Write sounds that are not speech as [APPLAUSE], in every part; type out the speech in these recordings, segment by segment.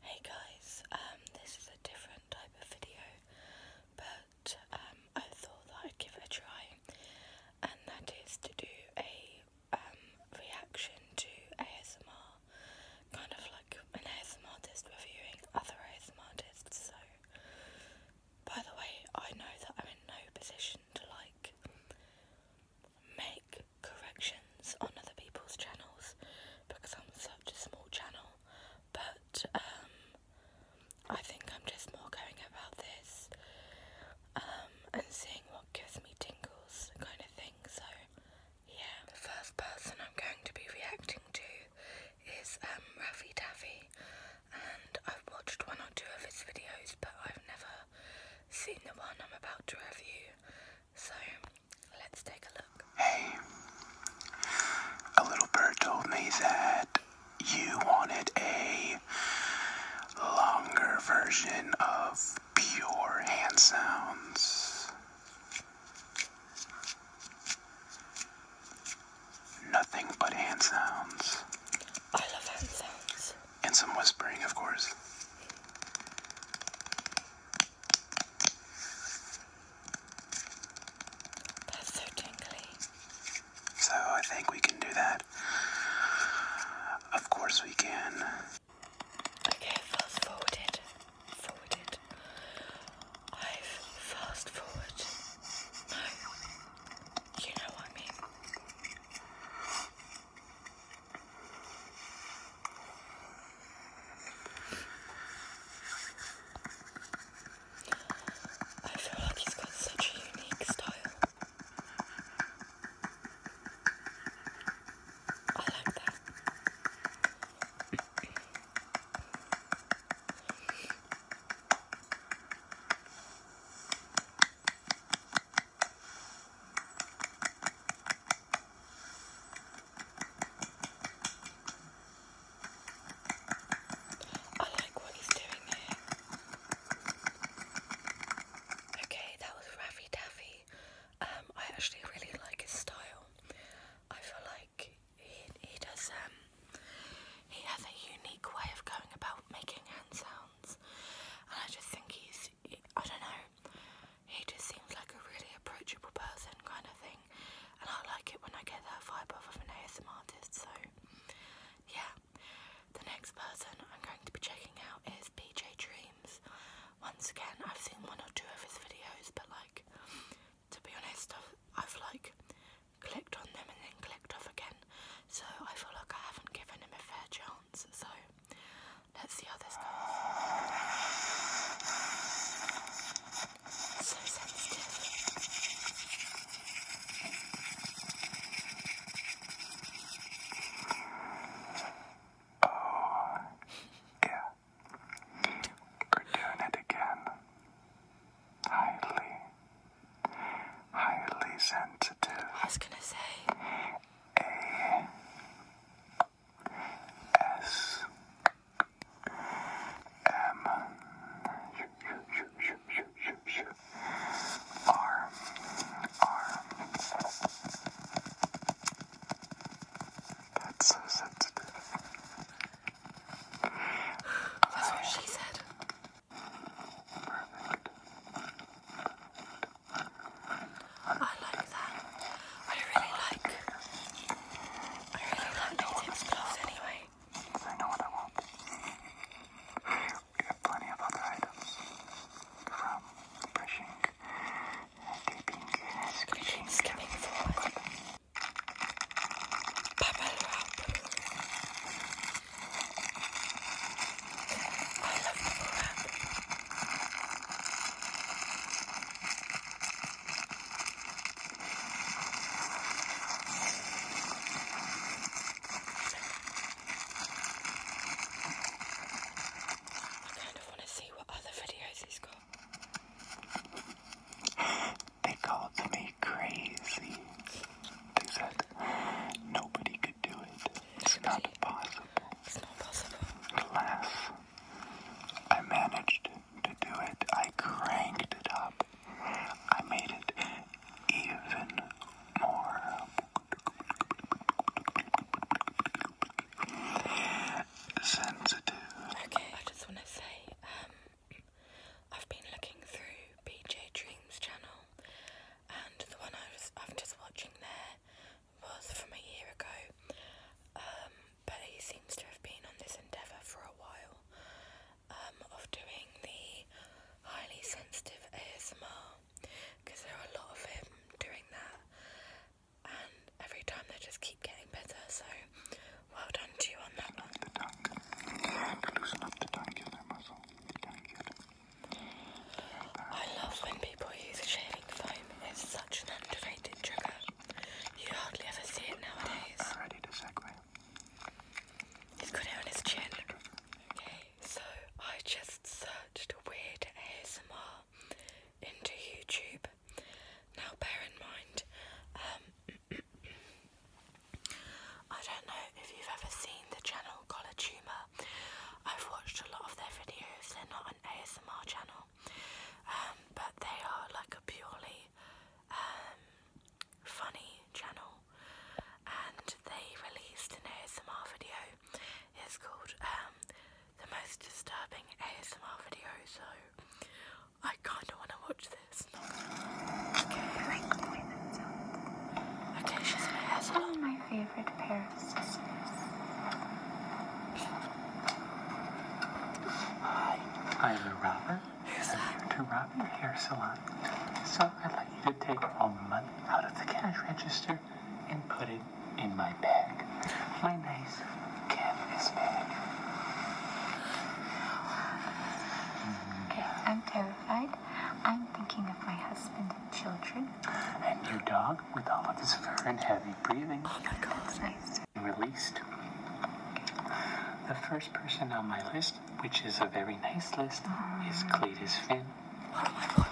Hey guys, um, this is a different type of video, but um, I thought that I'd give it a try, and that is to do a um, reaction to ASMR, kind of like an ASMR artist reviewing other ASMR artists. So, by the way, I know that I'm in no position to like make corrections on other people's channels because I'm such a small channel but um, I think I'm just more going about this um, and seeing what gives me tingles kind of thing so yeah the first person I'm going to be reacting to is um Raffy Taffy and I've watched one or two of his videos but I've never seen the one I'm about to review so Hey, a little bird told me that you wanted a longer version of pure hand sounds. Nothing but hand sounds. I love hand sounds. And some whispering, of course so I think we can do that. Of course we can. Okay, fast forwarded. Forwarded. I've fast forward. No. You know what I mean. I feel like he's got such a unique style. I like that. I like what he's doing here. Okay, that was Raffy Taffy. Um, I actually really like his style. I feel like he, he does, um, he has a unique way of going about making hand sounds, and I just think he's I don't know, he just seems like a really approachable person kind of thing. And I like it when I get that vibe off of an ASM artist, so yeah. The next person I'm going to be checking out is PJ Dreams. Once again, I've seen one or two of his videos, but like, to be honest, I've like clicked on them and then clicked off again, so I feel like I haven't given him a fair chance. So let's see how this goes. So sensitive. Oh, yeah. We're doing it again. Highly, highly sensitive. I was gonna say. A S M R R. That's so sensitive. That's what she said. I like that. I really like. I really like these gloves anyway. I know what I want. We have plenty of other items from brushing, dipping, scratching, skipping forward. Bubble wrap. I love bubble wrap. I kind of want to see what other videos he's got. [GASPS] They called me crazy. They said nobody could do it. It's not possible. It's not I managed to do it. I cranked it up. I made it even more. Sensitive. Okay, I just want to say, um, I've been looking through PJ Dreams channel, and the one I was, I'm just watching there was from a year ago, um, but he seems to have been on this endeavour for a while um, of doing the highly sensitive ASMR because there are a lot of him doing that, and every time they just keep getting better. So, well done to you on that one. I love when people use shaving foam. It's such an underrated trigger. You hardly ever see it nowadays. I'm ready to segue. He's got it on his chin. Okay, so I just searched weird ASMR into YouTube. Now bear in mind, um, [CLEARS THROAT] I don't know if you've ever seen the channel Collar Tumor. I've watched a lot of their videos, they're not an ASMR channel, um, but they are like a purely um, funny channel, and they released an ASMR video. It's called um, the most disturbing ASMR video, so I kind of want to watch this. [LAUGHS] Okay, she's in a hair salon favorite pair of Hi, I'm a robber. I'm here to rob your hair salon. So I'd like you to take all money out of the cash register and put it in my bag. My nice canvas bag. Okay, I'm terrified. I'm thinking of my husband and children. And your dog? with all of this fur and heavy breathing. Oh my god, that's nice. Released. The first person on my list, which is a very nice list, is mm. Cletus Finn. Oh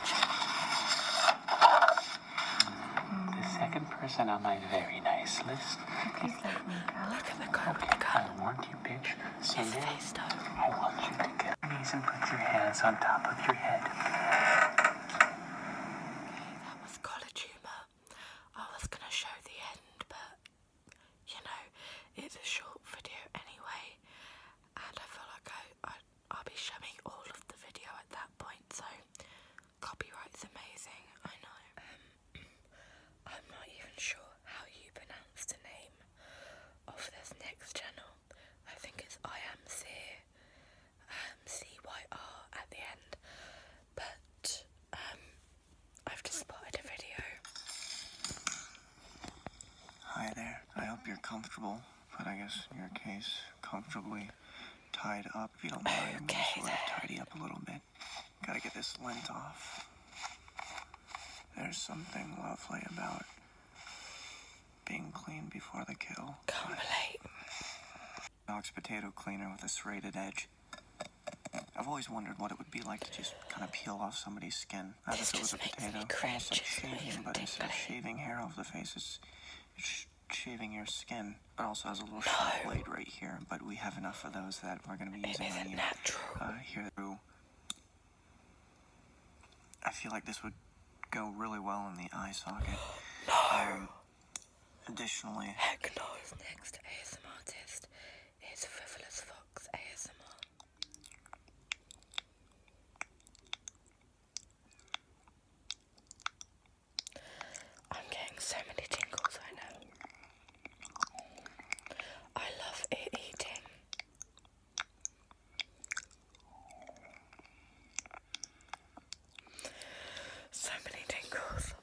the second person on my very nice list. Look at the car. Okay, I warned you, bitch. So His now, I want you to get knees and put your hands on top of your head that was collar I was gonna show the end, but you know, it's a short video anyway, and I feel like I, I will be showing all of the video at that point. So copyright's amazing. I know. Um, [CLEARS THROAT] I'm not even sure how you pronounce the name of this next channel. I think it's I am C, um, at the end, but um, I've just spotted a video. Hi there, I hope you're comfortable, but I guess in your case, comfortably tied up. If you don't mind, [LAUGHS] okay, I'm gonna sort then. of tidy up a little bit. Gotta get this lint off. There's something lovely about being clean before the kill. Come not relate. Alex potato cleaner with a serrated edge. I've always wondered what it would be like to just kind of peel off somebody's skin. Not this if it was a potato. It's like shaving, but instead of shaving hair off the face, it's, shaving your skin. It also has a little sharp blade right here, but we have enough of those that we're going to be using on you. Natural. Uh, here through I feel like this would go really well in the eye socket. [GASPS] no. Um, additionally, heck no. His next ASMR artist is Frivolous Fox ASMR. I'm getting so many tingles right now. I love it eating. So many tingles.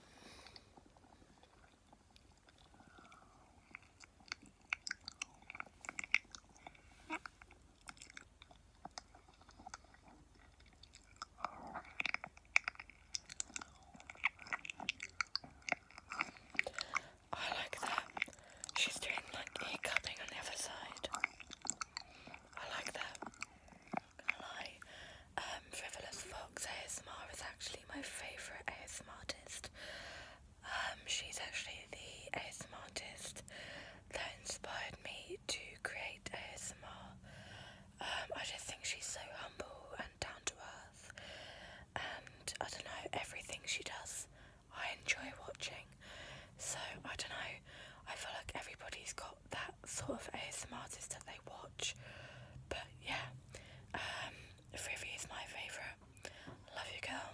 I like that. She's doing like ear cupping on the other side. I like that. Gonna lie. Um, Frivolous Fox ASMR is actually my favourite ASMR artist. Um, she's actually the ASMR artist that inspired me to create ASMR. Um, I just think she's so humble and down to earth, and I don't know, everything she does I enjoy watching. So I don't know. I feel like everybody's got that sort of ASMR artist that they watch. But yeah, um, is my favourite. Love you, girl.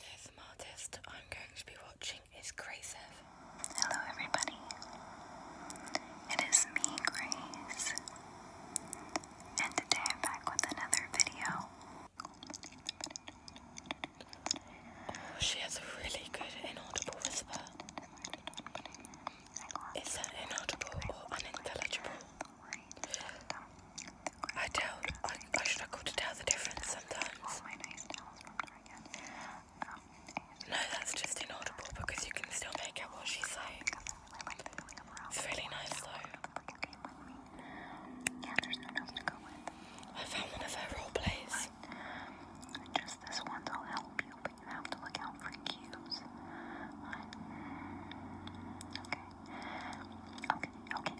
Next ASMR artist I'm going to be watching is Grace. Hello, everybody. It is me, Grace, and today I'm back with another video. Oh, she has a really good inaudible whisper. Is that inaudible or unintelligible? I doubt. I, I struggle to tell the difference sometimes. No, that's just inaudible because you can still make out what she's saying. really nice though. Yeah, there's no else to go with. I found one of her role plays. Just this one's will help you, but you have to look out for cues. Okay. Okay, okay.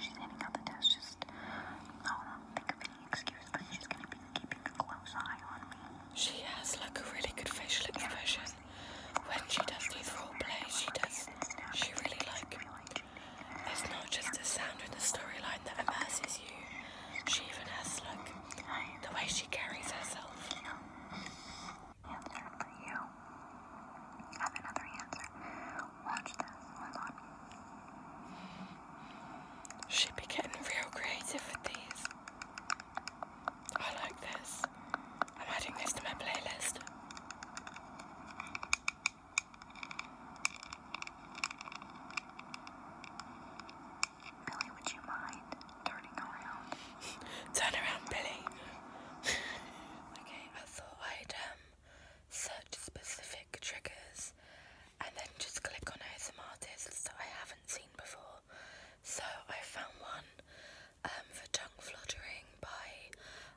She's handing out the test. Just, don't think of any excuse because she's going to be keeping a close eye on me. She has like a really good facial expression. When she does these role plays, she does, she really like it's not just the sound of the storyline that immerses you. She even has like the way she carries herself. Answer for you. have another answer. Watch this. Hold on. She'd be getting real creative with these. I like this. I'm adding this to my playlist. Billy, would you mind turning around? [LAUGHS] Turn around, Billy. [LAUGHS] okay, I thought I'd um, search specific triggers and then just click on some artists that I haven't seen before. So I found one um, for tongue fluttering by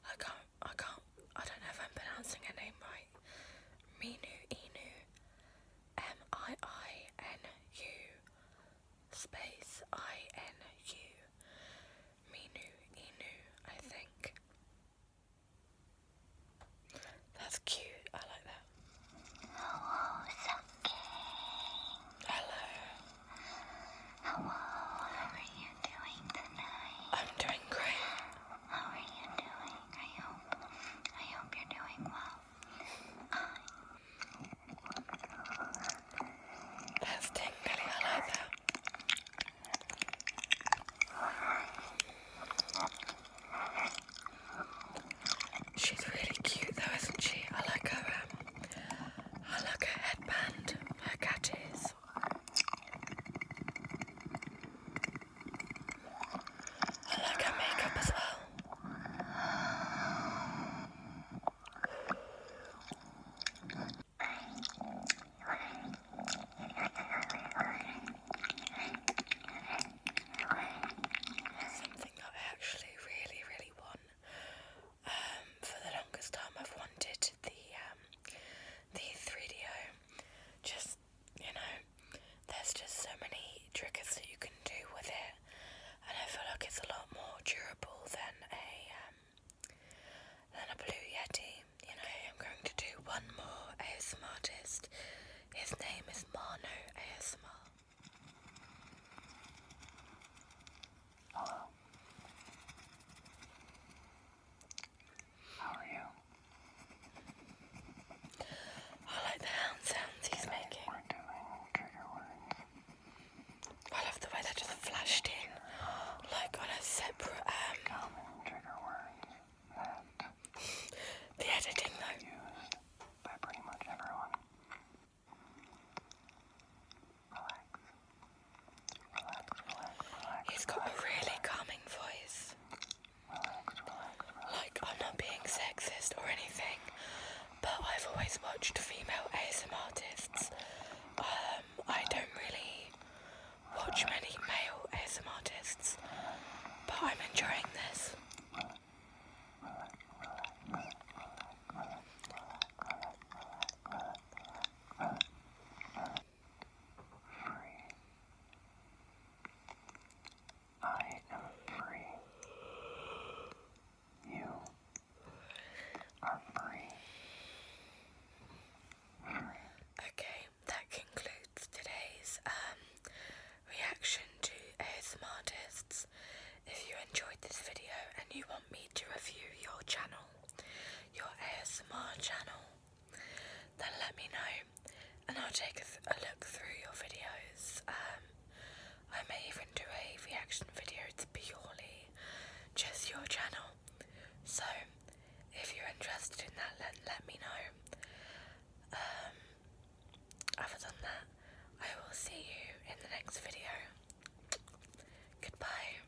I can't I can't, I don't know if I'm pronouncing her name right. Minu Inu, M I I N U, space I N U, Minu Inu, I think. That's cute, I like that. Hello, how are you doing tonight? I'm doing great. How are you doing? I hope I hope you're doing well. That's tingly, I like that. She's really cute though, isn't she? I like her um, I like her headband, her cat is. I like my makeup as well. Something that I actually really, really want. Um, for the longest time, I've wanted the um, the 3DO just you know, there's just so many triggers that you can do with it, and I feel like it's a lot more durable than a um, than a blue yeti. You know, I'm going to do one more ASMR artist. His name is Mano ASMR. Oh. How are you? I like the hound sounds he's making. We're doing trigger words. I love the way that just flashed in, like on a separate. Um, the editing though. Used by pretty much everyone. Relax. He's got a really calming voice. Like, I'm not being sexist or anything, but I've always watched female ASMR artists. Um, I don't really watch many male ASMR artists, but I'm enjoying this free. I am free. You are free. Okay, that concludes today's um, reaction to ASMR artists. If you enjoyed this video and you want me to review your channel, your ASMR channel, then let me know and I'll take a, look through your videos. Um, I may even do a reaction video to purely just your channel. So if you're interested in that, let, let me know. Um, other than that, I will see you in the next video. Goodbye.